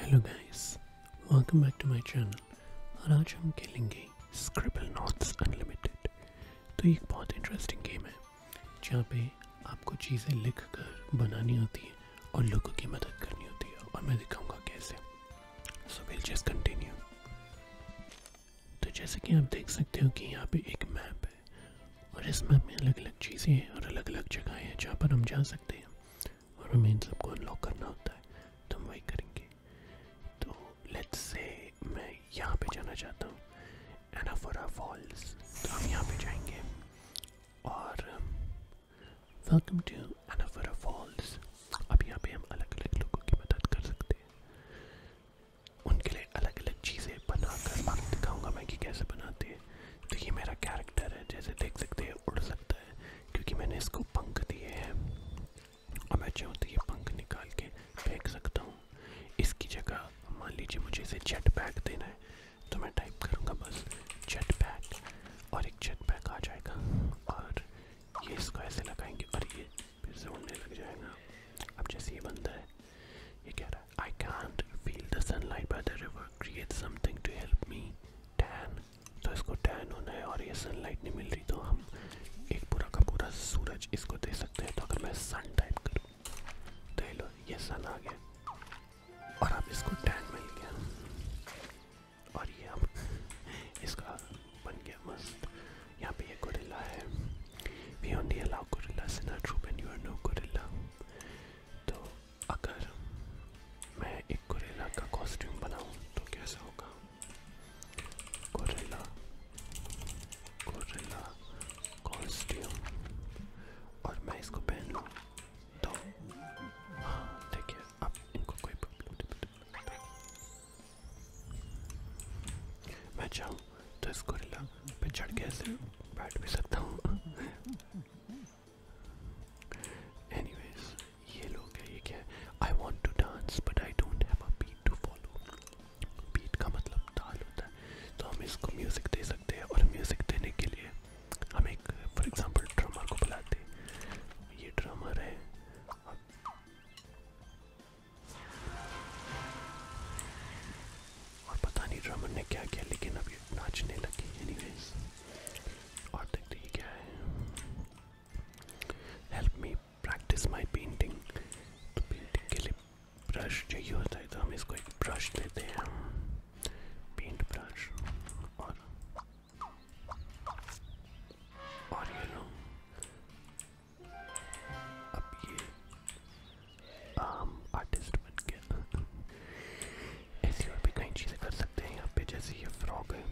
Hello guys welcome back to my channel और आज हम खेलेंगे स्क्रिबल नॉट्स अनलिमिटेड तो एक बहुत इंटरेस्टिंग गेम है जहाँ पे आपको चीज़ें लिख कर बनानी होती है और लोगों की मदद करनी होती है और मैं दिखाऊंगा कैसे सो विल जस्ट कंटिन्यू तो जैसे कि आप देख सकते हो कि यहाँ पे एक मैप है और इस मैप में अलग अलग चीज़ें हैं और अलग अलग जगह हैं जहाँ पर हम जा सकते हैं और हमें इन सबको अनलॉक करना होता है तो हम वही करेंगे तो लेट्स से मैं यहाँ पे जाना चाहता हूँ एनाफोरा फॉल्स तो हम यहाँ पे जाएंगे और वेलकम टू एनाफोरा फॉल्स अब यहाँ पे हम अलग अलग लोगों की मदद कर सकते हैं उनके लिए अलग अलग चीज़ें बना कर आपको दिखाऊँगा मैं कि कैसे बनाती है तो ये मेरा कैरेक्टर है जैसे देख सकते हैं उड़ सकता है क्योंकि मैंने इसको पंख दिए हैं और मैं चाहूँ तो ये पंख निकाल के फेंक सकता हूँ इसकी जगह मान लीजिए मुझे इसे जेट पैक देना है तो मैं टाइप करूँगा बस जेट पैक और एक जेट पैक आ जाएगा और ये इसको ऐसे लगाएंगे और ये फिर से उड़ने लग जाएगा अब जैसे ये बनता है ये कह रहा है I can't feel the sunlight by the river create something to help me tan तो इसको टैन होना है और ये सनलाइट नहीं मिल रही तो हम एक पूरा का पूरा सूरज इसको दे सकते हैं तो अगर मैं सन टाइप करूँ तो लो ये सन आ गया और अब इसको टैन मिल गया और ये हम इसका बन गया मस्त यहाँ पे ये गोरिल्ला है we only allow gorillas in our troop and you are no gorilla तो अगर मैं एक गोरिल्ला का कॉस्ट्यूम बनाऊं तो कैसे होगा गोरिल्ला गोरिल्ला कॉस्ट्यूम और मैं इसको पहन लूँ तो हाँ देखिए अब इनको कोई प्रॉब्लम नहीं मैं चाहूँ तो इस गोरिल्ला पे चढ़ के ऐसे बैठ भी सकता हूँ एनीवेज ये लोग I want to dance but I don't beat का मतलब ताल होता है तो हम इसको म्यूज़िक दे सकते हैं और म्यूज़िक देने के लिए हम एक फॉर एग्जांपल ड्रमर को बुलाते ये ड्रमर है और पता नहीं ड्रमर ने क्या किया लेकिन अब ये नाचने लगी एनीवेज और देखते ये क्या है help me practice my painting तो पेंटिंग के लिए ब्रश चाहिए होता है तो हम इसको एक ब्रश देते हैं पेंट ब्रश और और ये लो Um, uh, तो अब ये आम आर्टिस्ट बन गया ऐसी और भी कई चीज़ें कर सकते हैं यहाँ पे जैसे ये फ्रॉग है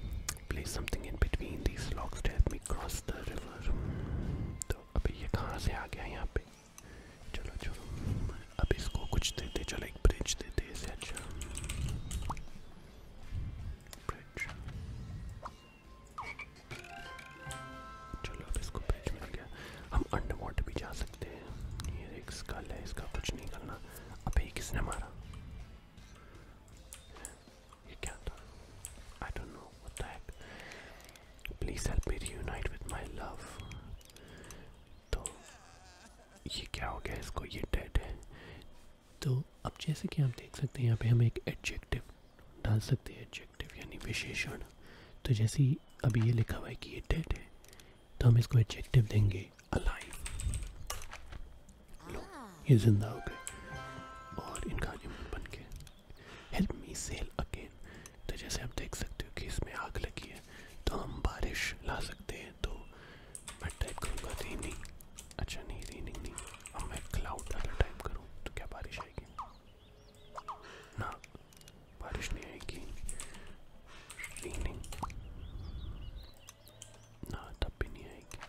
place something in between these locks to help me cross the river तो अभी ये कहाँ से आ गया यहाँ पे चलो चलो अब इसको कुछ देते चलो एक ब्रिज देते इसे अच्छा ब्रिज चलो अब इसको पेज मिल गया हम अंडर वाटर भी जा सकते हैं ये एक स्कल है इसका कुछ नहीं करना अबे किसने मारा ये क्या था I don't know what the heck please help me reunite with my love तो ये क्या हो गया इसको ये डेड है तो अब जैसे कि आप देख सकते हैं यहाँ पे हम एक एडजेक्टिव डाल सकते हैं एडजेक्टिव यानी विशेषण तो जैसे ही अभी ये लिखा हुआ है कि ये डेड है तो हम इसको एडजेक्टिव देंगे अलाइव ये जिंदा हो गए और इनका एनिमल बन के हेल्प मी सेल अगेन तो जैसे आप देख सकते हो कि इसमें आग लगी है तो हम बारिश ला सकते हैं तो मैं टाइप करूँगा रेनिंग अच्छा नहीं रेनिंग नहीं अब मैं क्लाउड अगर टाइप करूँ तो क्या बारिश जाएगी ना बारिश नहीं आएगी रेनिंग ना तब भी नहीं आएगी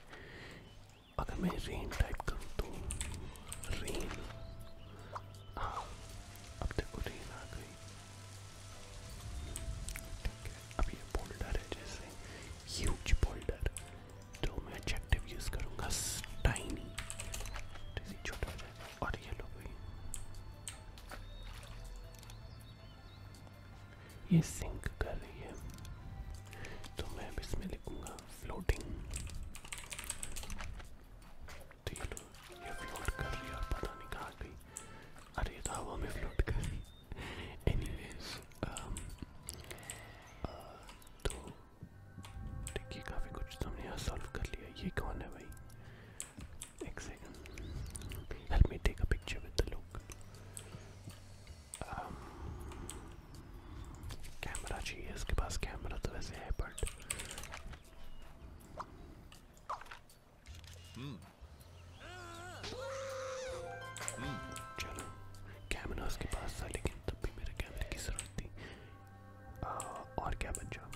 अगर मैं रेन टाइप करूँ तो रेन हाँ अब देखो रेन आ गई ठीक है अब ये बोल्डर है जैसे ह्यूज बोल्डर तो मैं एडजेक्टिव यूज़ करूँगा स्टाइनी छोटा हो जाएगा और ये लो भाई ये सिंक कर रही है तो मैं अब इसमें लिखूँगा फ्लोटिंग तो ये लो ये फ्लोट कर रही है और पता नहीं कहाँ गई अरे तो हवा में फ्लोट कर रही एनीवेज um, uh, तो ठीक है काफ़ी कुछ तो हमने यहाँ सॉल्व कर लिया ये कौन है भाई एक second help me take a picture with the look camera चाहिए इसके पास कैमरा तो वैसे है बट hmm. चलो कैमरा उसके पास था लेकिन तब भी मेरे कैमरे की ज़रूरत थी आ, और क्या बचा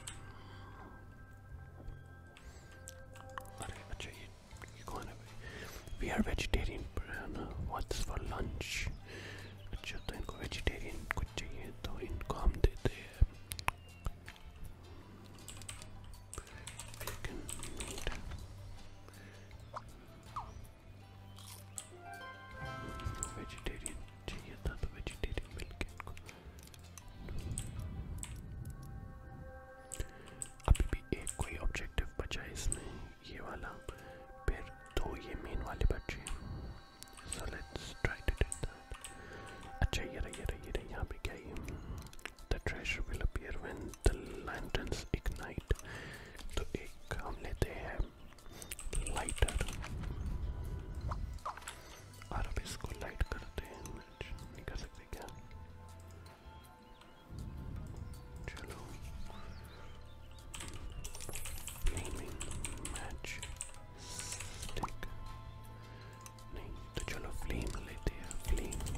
अरे अच्छा ये, ये कौन है भाई we are vegetarian what's for lunch अच्छा तो इनको वेजिटेरियन कुछ चाहिए तो इनको हम देते हैं वेजिटेरियन चाहिए था तो वेजिटेरियन मिल गया इनको अभी भी एक कोई ऑब्जेक्टिव बचा है इसमें ये वाला फिर दो ये मेन वाले बचे so let's try to do that अच्छा ये रहा ये रहा ये रहा यहाँ पे क्या ये the treasure will appear when the lanterns ignite तो एक हम लेते हैं लाइटर और अब इसको लाइट करते हैं नहीं कर सकते क्या चलो फ्लेमिंग मैच स्टिक नहीं तो चलो फ्लेम लेते हैं फ्लेम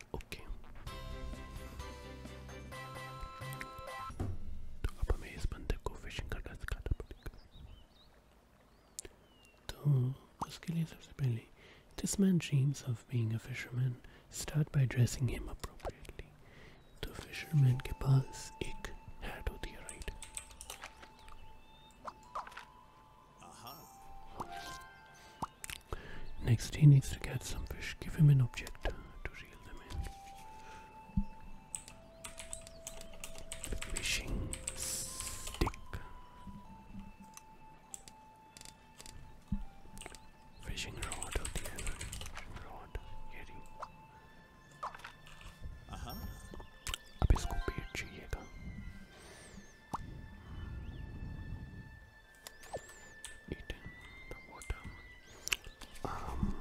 ओके तो अब हमें इस बंदे को फिशिंग करना सिखाना पड़ेगा तो उसके लिए सबसे पहले this man dreams of being start by dressing him appropriately तो फिशरमैन के पास एक है Next, he needs to catch some fish. Give him an object to reel them in. Fishing stick. Fishing rod of rod. Yeti. Aha. अब इसको पेट चाहिए था eating the water. Um,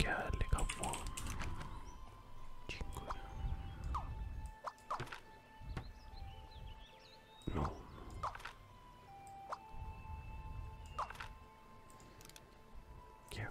क्या लिखा फोन? No. Yeah.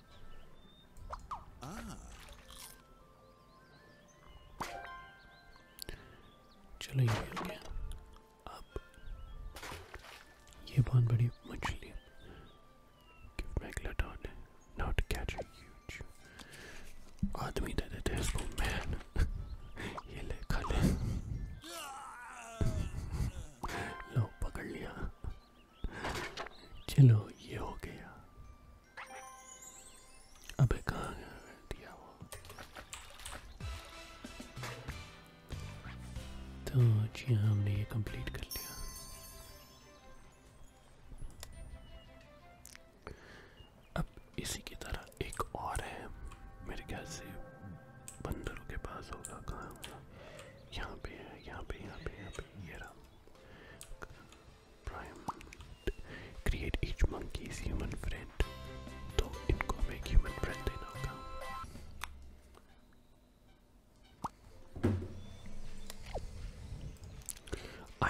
Ah. चलो ये हो गया अब ये बहुत बड़ी मछली give megalodon not catch a huge आदमी दे देते हैं इसको मैन ये ले खा ले लो पकड़ लिया चलो ये हो गया अब कहाँ दिया वो तो जी हाँ हमने ये कंप्लीट कर लिया अब इसी की तरह एक और है मेरे ख्याल से बंदरों के पास होगा कहाँ यहाँ पे है यहाँ पे यहाँ पे यहाँ पे ये रहा Prime. Create each monkey's human friend. तो इनको हम एक human friend देना होगा.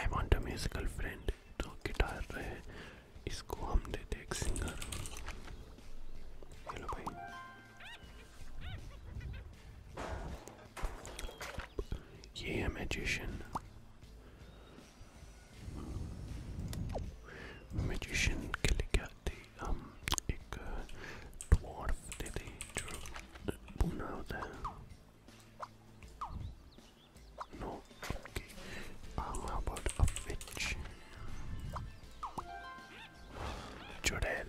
I want a musical friend. तो गिटार है. इसको हम देते एक singer. हेलो भाई. Yeah, magician. Magician got the um ik uh, dwarf did he drew Uno No, okay. Um about a witch? Jordan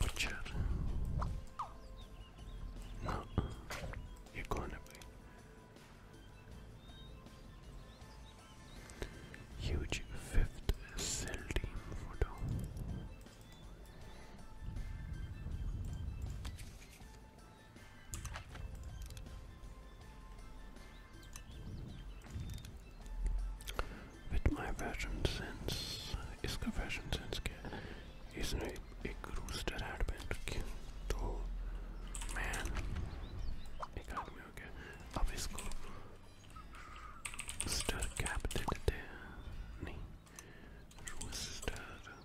butcher. No, you're going away. Huge fifth cell team photo. With my fashion sense, इसका fashion sense क्या है? इसने एक rooster hat पहन रखी है तो man एक आदमी हो गया अब इसको रूस्टर कैप दे देते हैं नहीं रूस्टर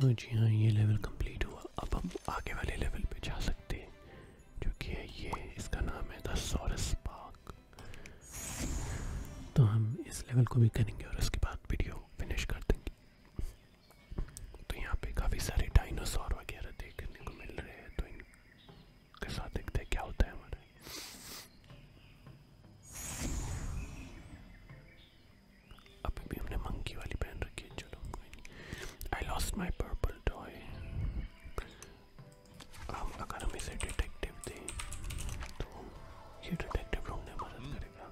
तो जी हाँ ये लेवल कंप्लीट हुआ अब हम आगे वाले लेवल पे जा सकते हैं जो कि है ये इसका नाम है द पार्क तो हम इस लेवल को भी करेंगे और उसके बाद वीडियो फिनिश कर देंगे तो यहाँ पे काफ़ी सारे डायनासोर वगैरह देखने को मिल रहे हैं तो इनके साथ देखते हैं क्या होता है हमारा अभी भी हमने मंकी वाली पहन रखी है चलो कोई नहीं I lost my purple toy हम अगर हम इसे डिटेक्टिव दें तो ये डिटेक्टिव ढूंढने में मदद हम्म। करेगा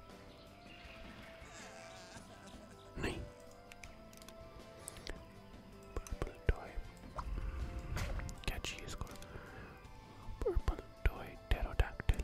नहीं पर्पल टॉय क्या चाहिए इसको पर्पल टॉय टेरोडैक्टिल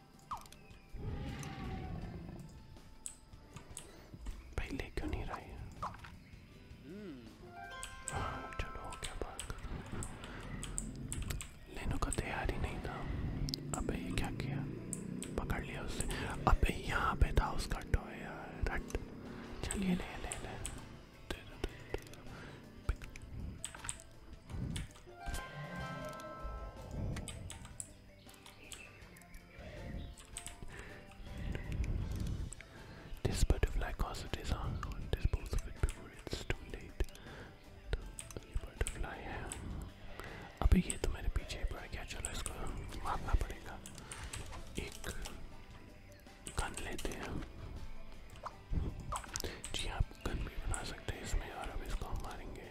भाई ले क्यों नहीं रहा है हाँ चलो हो गया बात करो लेने को तैयार ही नहीं था अबे ये क्या किया पकड़ लिया उससे अबे यहाँ पे था उसका टॉय यार रट चलिए ले ले ले दे दो दे दो This butterfly causes harm. Dispose of it before it's too late. तो ये बटरफ्लाई है अभी ये तो मेरे पीछे पड़ गया चलो इसको मारना पड़ेगा एक गन लेते हैं जी आप गन भी बना सकते हैं इसमें और अब इसको हम मारेंगे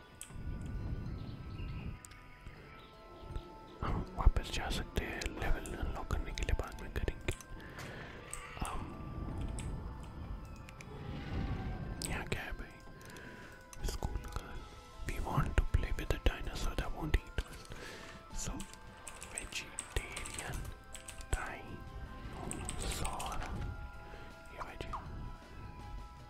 हम वापस जा सकते हैं लेवल अनलॉक करने के लिए बाद में करेंगे um, यहाँ क्या है भाई school girl we want to play with the dinosaur that won't eat us so vegetarian dinosaur ये वेजी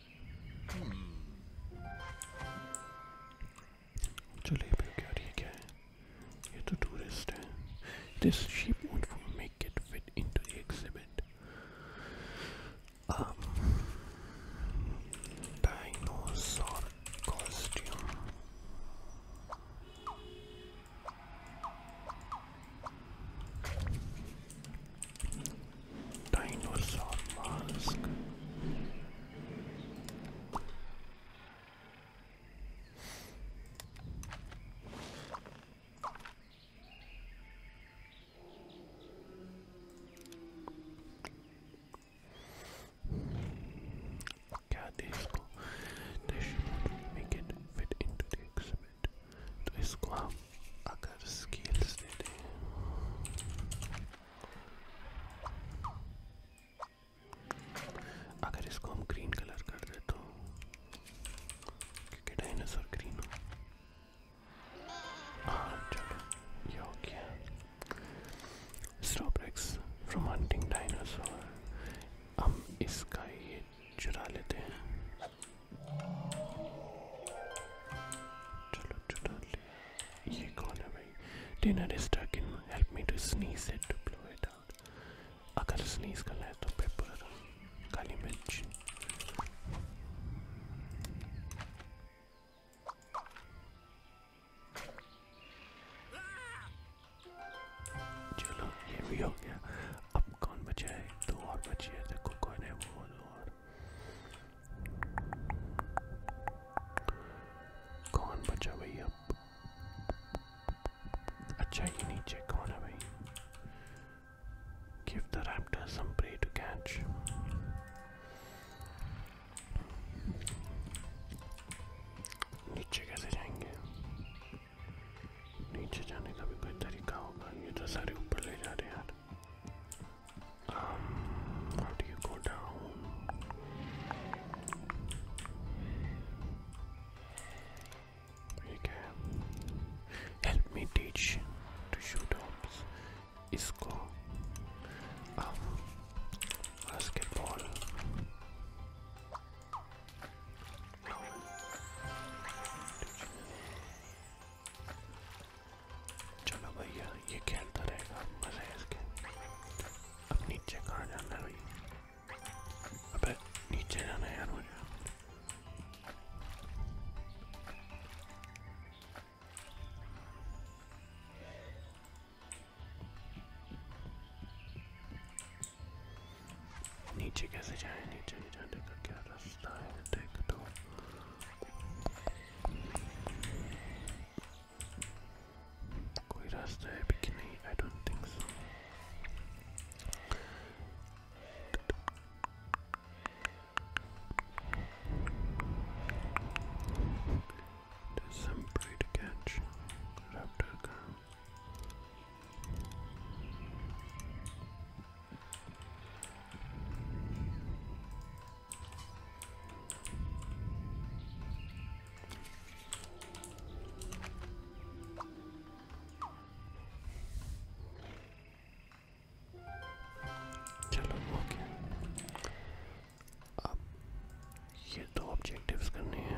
जलेबी hmm. क्या ठीक है ये तो टूरिस्ट है this sheep won't make it fit into the exhibit um dinosaur costume Dinosaur mask. Yeah, these go. They should make it fit into the exhibit. तो इसको हम अगर स्केल दे अगर इसको हम ग्रीन कलर कर दे तो क्योंकि डायनासोर ग्रीन हो हाँ चलो ये हो गया स्टॉब्रेक्स फ्रॉम हंटिंग डायनासोर हम इसका ये चुरा लेते हैं चलो चुरा ले ये कौन है भाई dinner is stuck in help me to sneeze it to blow it out अगर स्नीज करना है तो पेपर काली मिर्च चलो ये भी हो गया अब कौन बचा है दो और बची है देखो कौन है वो और कौन बचा भाई अब अच्छा ये नीचे कौन है भाई Give the raptor some prey to catch. नीचे कैसे जाएंगे नीचे जाने का भी कोई तरीका होगा ये तो सारे ऊपर ले जा रहे यार Um, how do you go down? You can help me teach to shoot ops. Isco, um, basketball. चलो भैया ये खेलता रहेगा मजा है इसके अब नीचे कहाँ जाना है भैया अबे नीचे जाना है यार मुझे नीचे कैसे जाए नीचे नहीं जाने का क्या रास्ता है देख तो Guidas the bikini? I don't think so. some prey to catch. Raptor चलो ओके अब ये दो ऑब्जेक्टिव्स करने हैं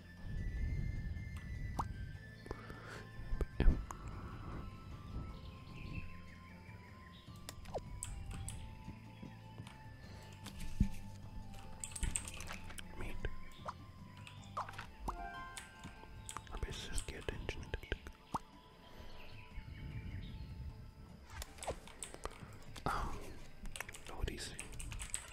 Meat. Or just get attention. Um, what do you see?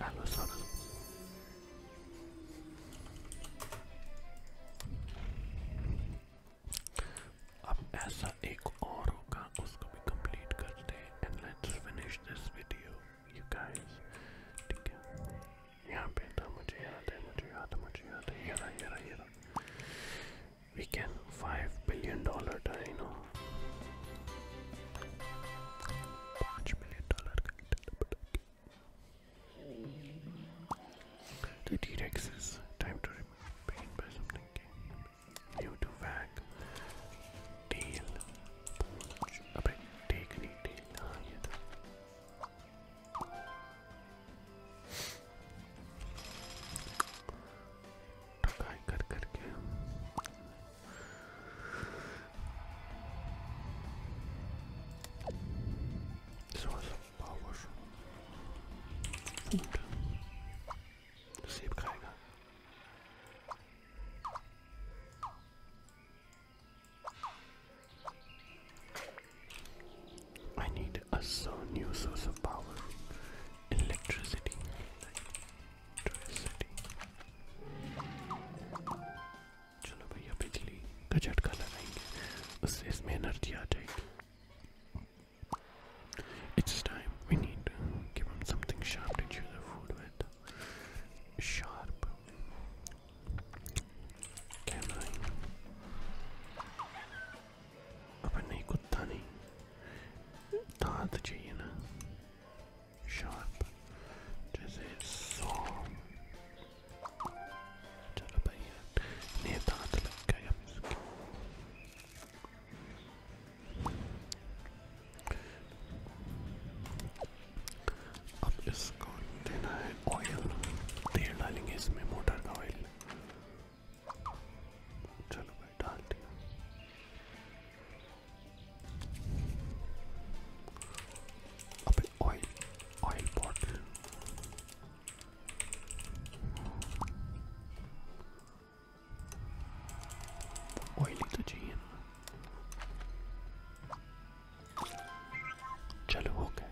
Amazon. अब ऐसा एक और होगा उसको भी कंप्लीट करते हैं and let's finish this video you guys ठीक है यहाँ पे था मुझे याद है मुझे याद है मुझे याद है ये रहा ये रहा ये रहा we can five billion dollar dino Five billion dollar The T-Rex is time to remain by something New to wag tail Ab take knee tail ah, ठकाई कर करके source of power food सेब खाएगा I need a so new source of power. Electricity. Electricity. चलो भैया बिजली का लगाएंगे उससे इसमें एनर्जी आ It's time we need to give him something sharp to chew the food with. Sharp. Can I? अपन नहीं कुत्ता नहीं दांत चाहिए ना शार्प जैसे सौ चलो भाई नहीं दांत लग गया इसके अब इसको देना है ऑयल तेल डालेंगे इसमें मोटर का ऑयल चलो भाई डाल दिया अबे ऑयल ऑयल बॉटल ऑयल ही तो चाहिए ना चलो हो गया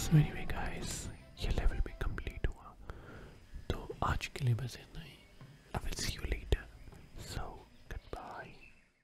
सो एनी वे गाइस ये लेवल भी कंप्लीट हुआ तो आज के लिए बस इतना ही I will see you later so good bye